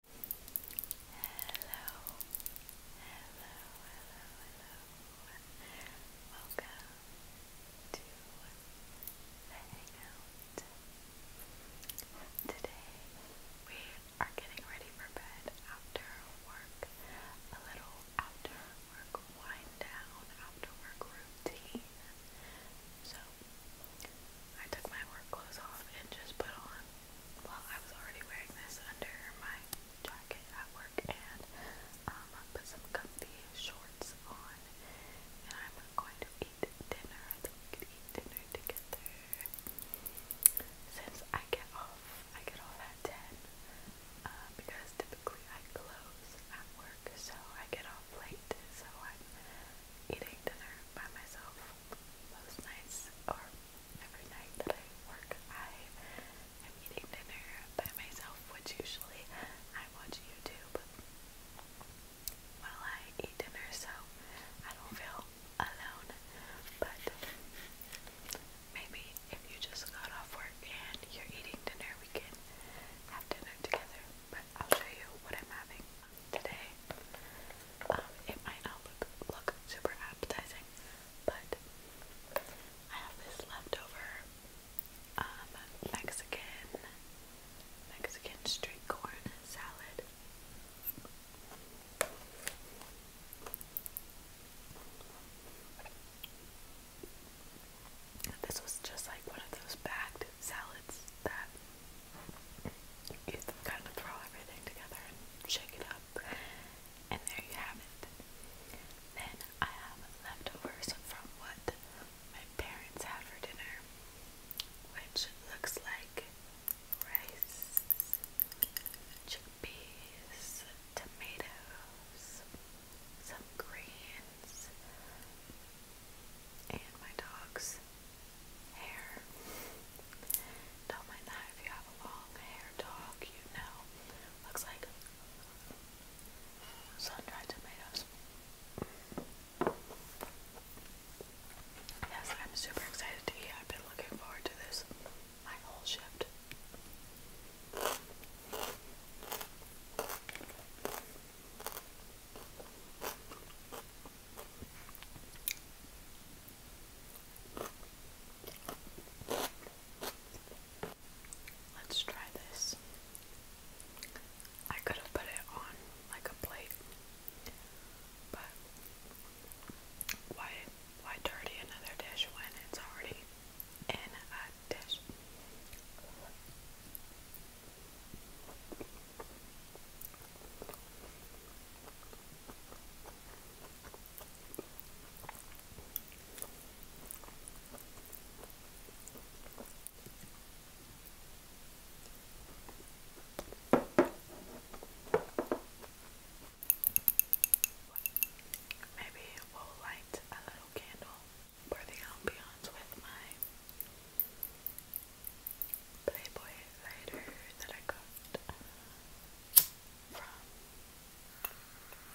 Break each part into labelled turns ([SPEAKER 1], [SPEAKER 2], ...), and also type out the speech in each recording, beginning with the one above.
[SPEAKER 1] Hello, hello, hello, hello. Welcome to the Hangout. Today we are getting ready for bed after work, a little after work wind down, after work routine. So I took my work clothes off and just put on well, I was already wearing this under my jacket at work, and um, I put some comfy shorts on, and I'm going to eat dinner. I think we could eat dinner together. Since I get off, I get off at 10, uh, because typically I close at work, so I get off late, so I'm eating dinner by myself most nights or every night that I work, I am eating dinner by myself, which usually I watch YouTube while I eat dinner, so I don't feel alone. But maybe if you just got off work and you're eating dinner, we can have dinner together. But I'll show you what I'm having today. Um, it might not look, look super appetizing, but I have this leftover um, Mexican Mexican street corn salad. This was just like one of those bagged salads that you kind of throw everything together and shake it up, and there you have it. Then I have leftovers from what my parents had for dinner, which looks like rice, chickpeas, tomatoes, some greens, and my dogs hair. Don't mind that if you have a long hair dog, you know. Looks like sun-dried tomatoes. Yes, I'm super excited to eat. I've been looking forward to this my whole shift. Let's try this. I could have put it on like a plate, but why why dirty another dish when it's already in a dish? Maybe we'll light a little candle for ambiance with my Playboy lighter that I got from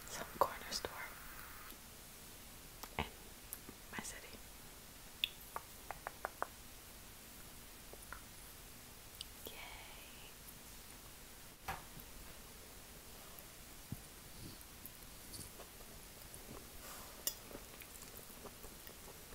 [SPEAKER 1] some corner store in my city. Yay!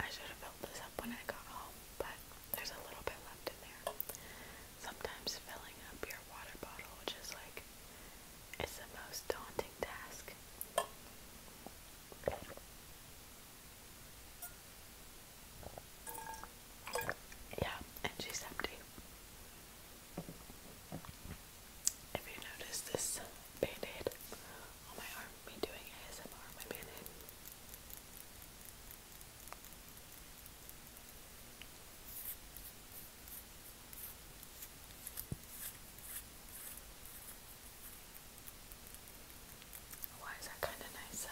[SPEAKER 1] I should have filled this up when I got home, but there's a little bit left in there. Sometimes filling up your water bottle just like it's the most daunting task. Yeah, and she's empty. If you notice this band on my arm, me doing ASMR my band why is that kind of nice? So,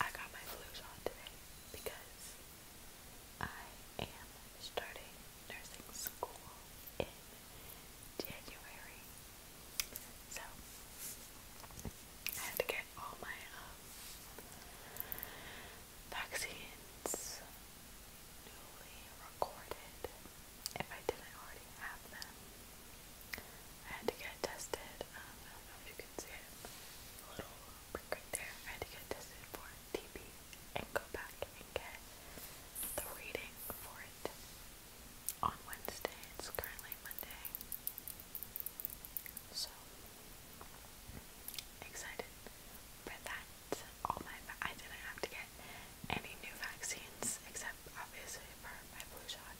[SPEAKER 1] I got my flu shot today because I am starting nursing school in January. So I had to get all my um, vaccines newly recorded if I didn't already have them. I had to get tested. Um, I don't know if you can see it, little prick right there. I had to get tested for TB and go back and get the reading for it on Wednesday. It's currently Monday. So excited for that. All my I didn't have to get any new vaccines except obviously for my flu shot,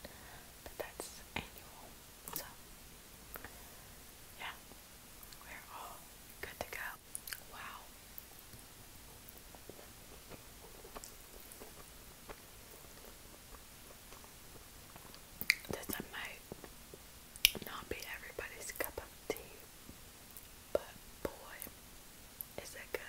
[SPEAKER 1] but that's annual. So yeah, we're all good to go. Wow, this might not be everybody's cup of tea, but boy, is it good.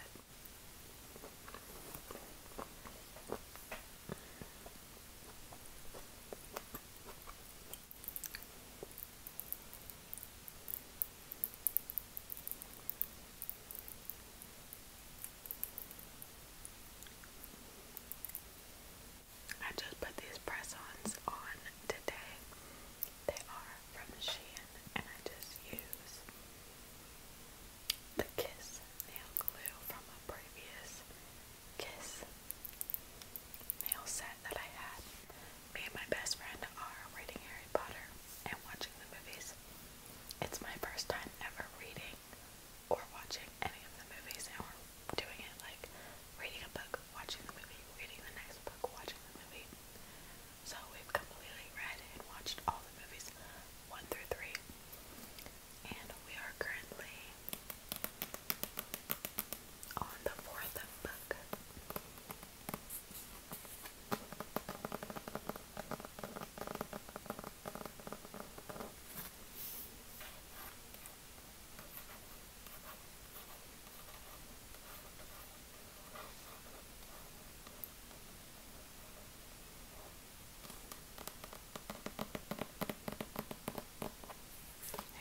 [SPEAKER 1] I just put these press-ons on today. They are from Shein and I just use the Kiss nail glue from a previous Kiss nail set that I had. Me and my best friend are reading Harry Potter and watching the movies. It's my first time ever reading or watching any of the movies, and we're doing it like reading a book, watching the movie, reading the next book, watching the movie. So we've completely read and watched all the movies one through three, and we are currently on the fourth book.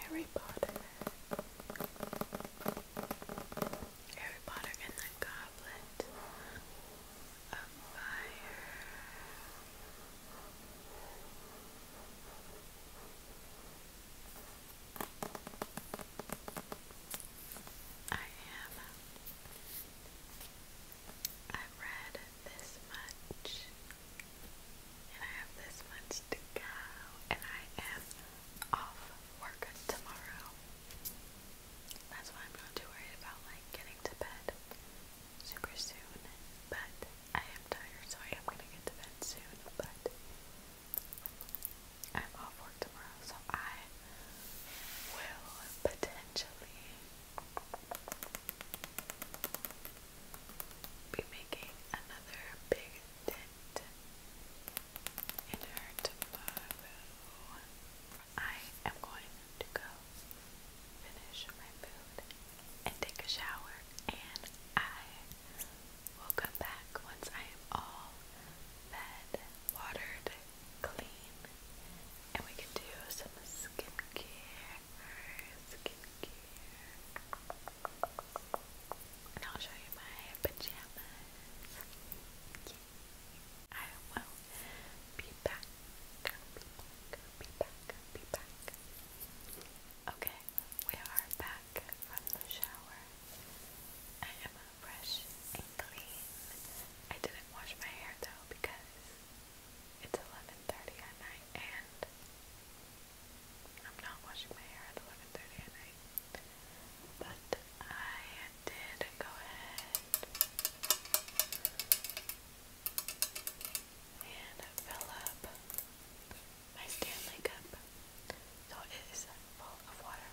[SPEAKER 1] Harry Potter. Harry Potter and the Goblet of Fire. I am. I've read this much, and I have this much to go, and I am off work tomorrow. That's why I'm not too worried about like getting to bed super soon. But I am tired, so I am gonna bed soon. But I'm off work tomorrow, so I will potentially be making another big dent in her I am going to go finish my food and take a shower, and I will come back once I am all fed, watered, clean, and we can do some Skin care, And I'll show you my pajamas. I will be back. Okay, we are back from the shower. I am fresh and clean. I didn't wash my hair though because it's 11:30 at night and I'm not washing my hair at 11:30 at night. But I did go ahead and fill up my Stanley cup so it is full of water.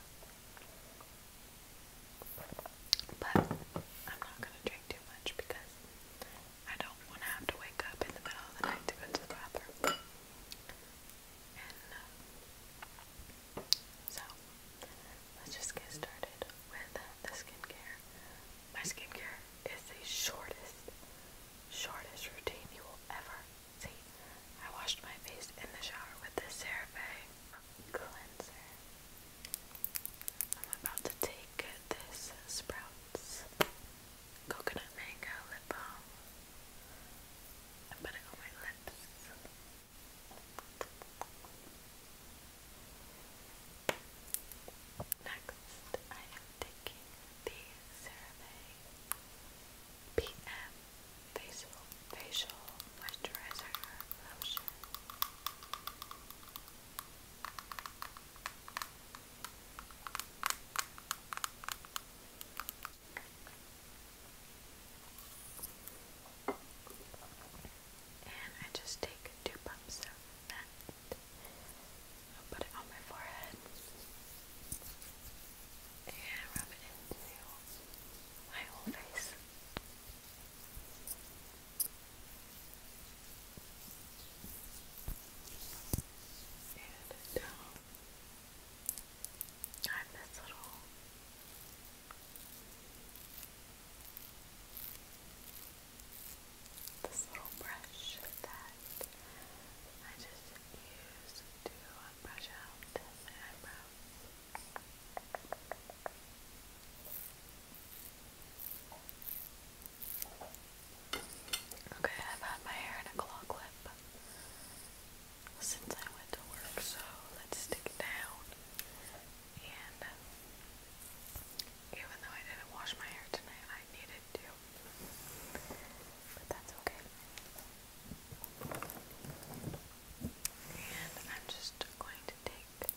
[SPEAKER 1] But I'm not going to drink too much because I don't want to have to wake up in the middle of the night to go to the bathroom. Uh, so, let's just get started with the skincare. My skincare is the shortest, shortest routine you will ever see. I washed my face in the shower with this CeraVe cleanser. I'm about to take this Sprouts Coconut Mango Lip Balm and put it on my lips. Next, I am taking the CeraVe PM Facial, Moisturizer Lotion. And I just take two pumps of that. put it on my forehead. And rub it into my whole face. And down. I have this little this little brush that I just use to brush out my eyebrows. Okay, I've had my hair in a claw clip since I went to work, so let's stick it down. And uh, even though I didn't wash my hair tonight, I needed to. But that's okay. And I'm just going to take this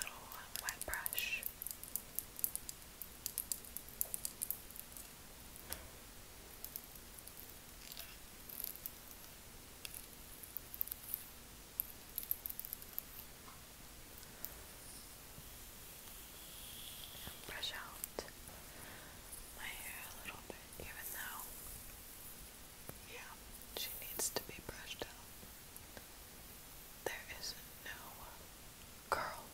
[SPEAKER 1] little uh, wet brush. And brush out my hair a little bit, even though, yeah, she needs to be brushed out. There is no curl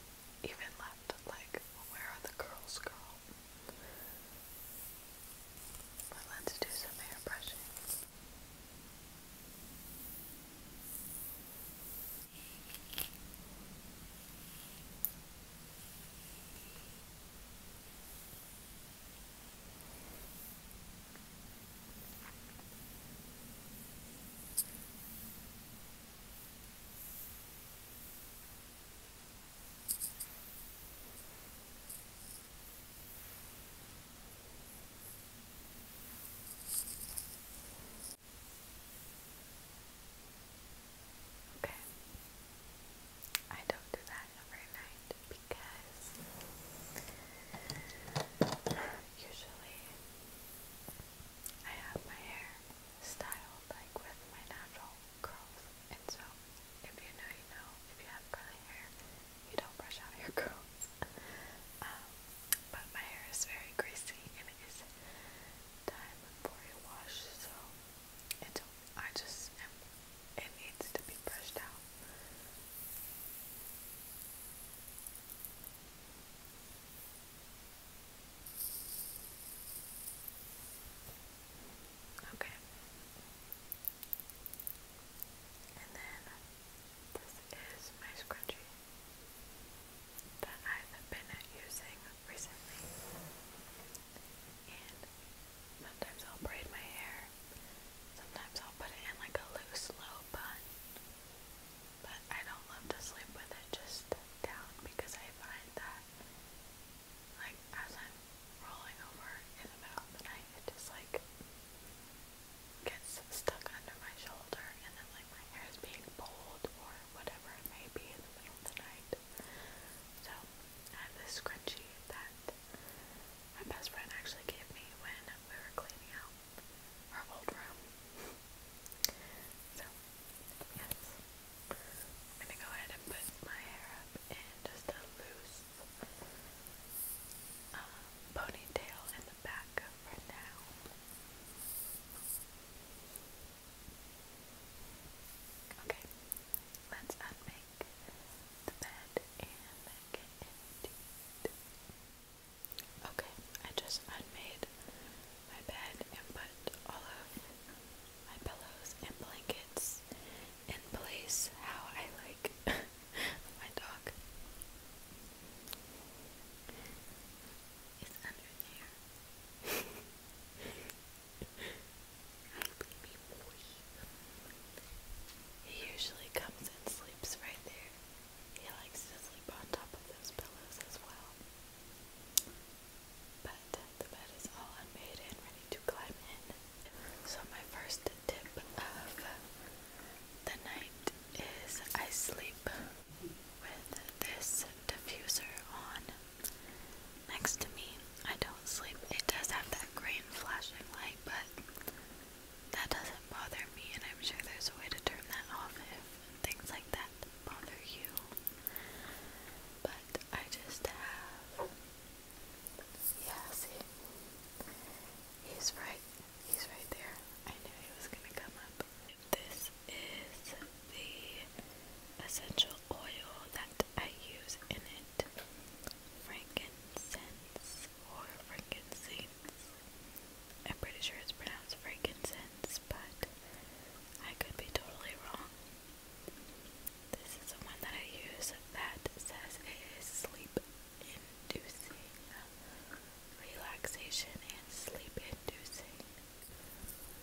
[SPEAKER 1] even left. Like, where are the curls, girl? But let's do some hair Okay. I don't do that every night because usually I have my hair styled like with my natural curls, and so if you know, you know, if you have curly hair, you don't brush out your curls. um, but my hair is very greasy, and it is time for a wash, so it's, I just am, it needs to be brushed out. Okay. And then this is my scrunchie that I've been using recently. And sometimes I'll braid my hair. Sometimes I'll put it in like a loose low bun. But I don't love to sleep with it just down because I find that like as I'm rolling over in the middle of the night, it just like gets stuck under my shoulder and then like my hair is being pulled or whatever it may be in the middle of the night. So I have this scrunchie that my best friend actually gave me when we were cleaning out our old room. so Yes. I'm gonna go ahead and put my hair up in just a loose um, ponytail in the back for now. Okay, let's unmake the bed and get into it. Okay, I just unmade my bed and put all of my pillows and blankets in place how I like my dog. It's under there. Hi, baby boy. He usually comes and sleeps right there. He likes to sleep on top of those pillows as well but the bed is all unmade and ready to climb in. So my first tip of the night is I sleep with this diffuser on next to me. I don't sleep. It does have that green flashing light, but that doesn't bother me, and I'm sure there's a way to turn that off if things like that bother you but I just have. Yeah, see, he's right. He's right there. I knew he was gonna come up. This is the essential oil that I use in it. Frankincense or frankincense. I'm pretty sure it's pronounced frankincense, but I could be totally wrong. This is the one that I use that says it is sleep inducing, relaxation, and sleep inducing.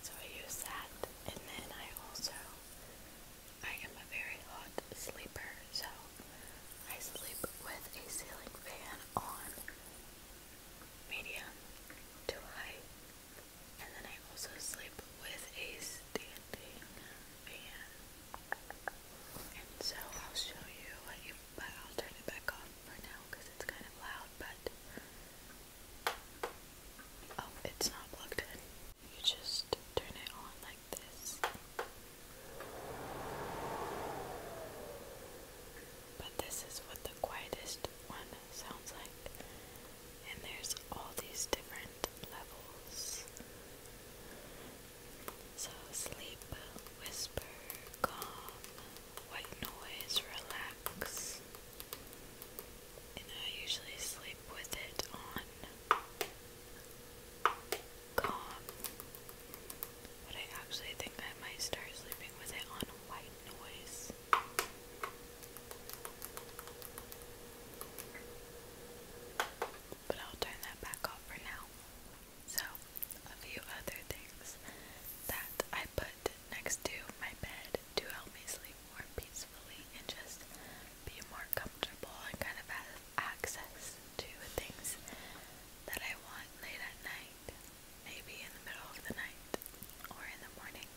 [SPEAKER 1] So I use that, and then I also, I am a very hot sleeper, so I sleep with a ceiling fan on medium to high and then I also sleep with a standing fan. And so I'll show you, but I'll turn it back off for now because it's kind of loud, but oh, it's not plugged in. You just turn it on like this. But this is what the quietest one sounds like. And there's all these different levels. So sleep, whisper, calm, white noise, relax. And I usually sleep with it on calm. But I actually think I might start sleeping with it on white noise. But I'll turn that back off for now. So, a few other things that I put next to my bed to help me sleep more peacefully and just be more comfortable and kind of have access to things that I want late at night maybe in the middle of the night or in the morning.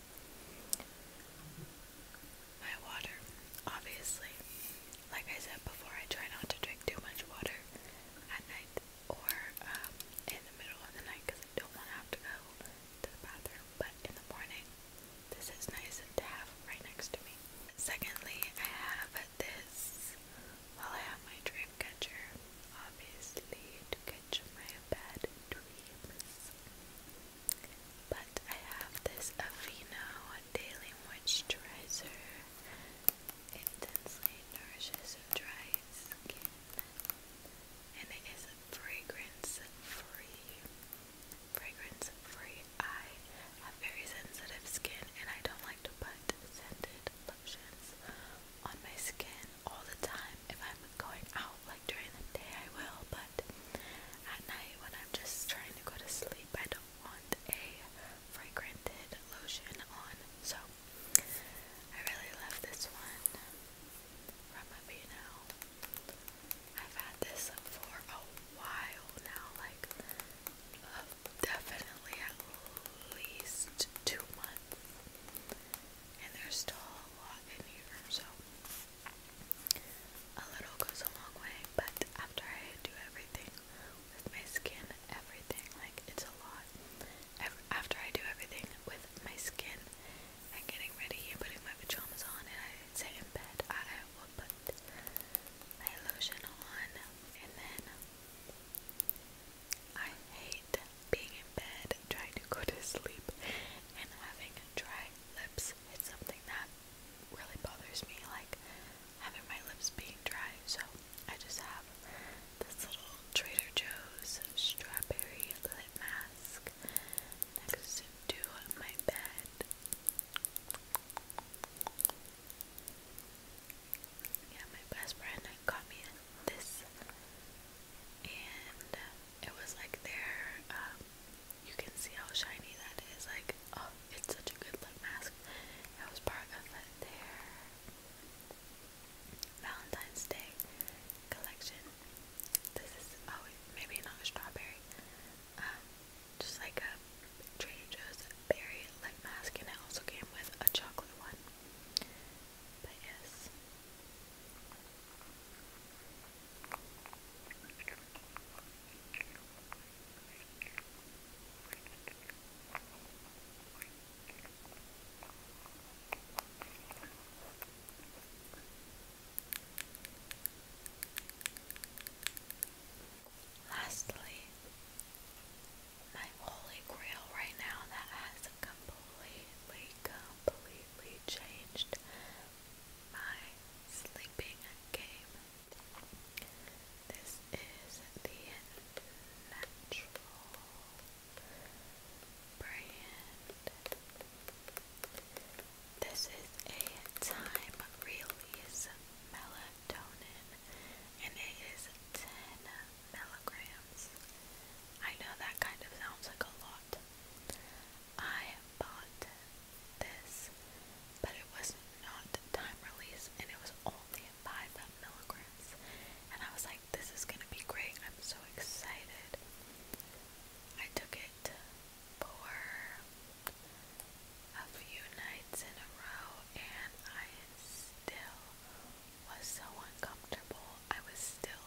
[SPEAKER 1] My water, obviously. Like I said before, I try not to drink too much water at night or um, in the middle of the night because I don't want to have to go to the bathroom. But in the morning, this is nice to have right next to me. Secondly, I have this. Well, I have my dream catcher, obviously, to catch my bed but I have this Aveeno Daily Moisturizer. Intensely nourishes dry skin. And it is fragrance free. Fragrance free. I have very sensitive skin and I don't like to put scented lotions on my skin all the time. If I'm going out, like during the day, I will, but at night when I'm just trying to go to sleep, I don't want a fragranted lotion on. So I really love this one from Aveeno. I've had this for a while now, like uh, definitely at least two months and there's still a lot in here, so a little goes a long way, but after I do everything with my skin, everything, like, it's a lot. After I do everything with my skin and getting ready putting my pajamas on and I sit in I will put my lotion on and then I hate being in bed trying to go to sleep and having dry lips. It's something that really bothers me, like having my lips being dry. So I just have this little Trader Joe's strawberry lip mask next to my bed. Yeah, my best friend got me this, and uh, it was like their. Um, you can see how shiny that is. Like, oh, it's such a good lip mask. That was part of uh, their Valentine's Day collection. This is oh, maybe not a strawberry. Um, just like a Trader Joe's berry lip mask, and it also came with a chocolate one. But yes, Lastly, my holy grail right now that has has completely, completely changed my sleeping game. This is the natural brand. This is a time release melatonin and it is 10 milligrams. I know that kind of sounds like a lot. I bought this, but it was not time release and it was only 5 milligrams. And I was like, this is gonna be great. I'm so excited. I took it for a few nights in a row and I still was so uncomfortable. I was still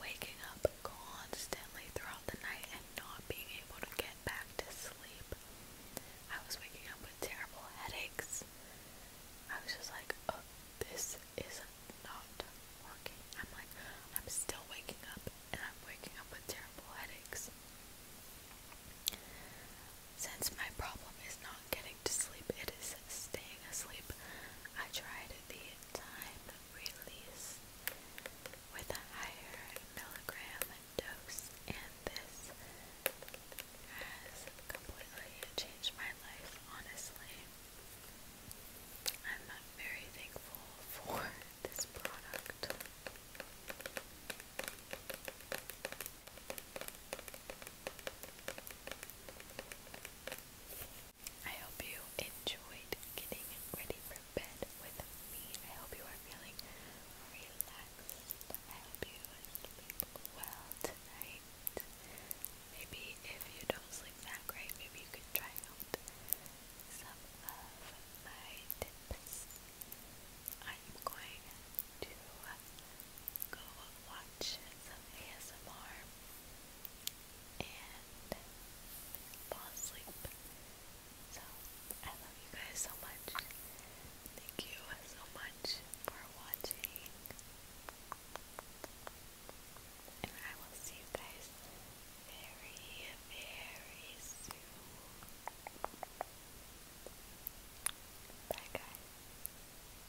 [SPEAKER 1] waking up constantly throughout the night and not being able to get back to sleep. I was waking up with terrible headaches. I was just like, oh, this is not working. I'm like, I'm still waking up and I'm waking up with terrible headaches. Since my problem is not getting to sleep, it is staying asleep. I tried the time release with a higher milligram dose, and this has completely changed my life, honestly. I'm very thankful for this product. I hope you enjoyed getting ready for bed with me. I hope you are feeling relaxed. I hope you sleep well tonight. Maybe if you don't sleep that great, maybe you could try out some of my tips. I'm going to uh, go watch some ASMR and fall asleep. So, I love you guys so much. Thank you so much for watching. And I will see you guys very, very soon. Bye, guys.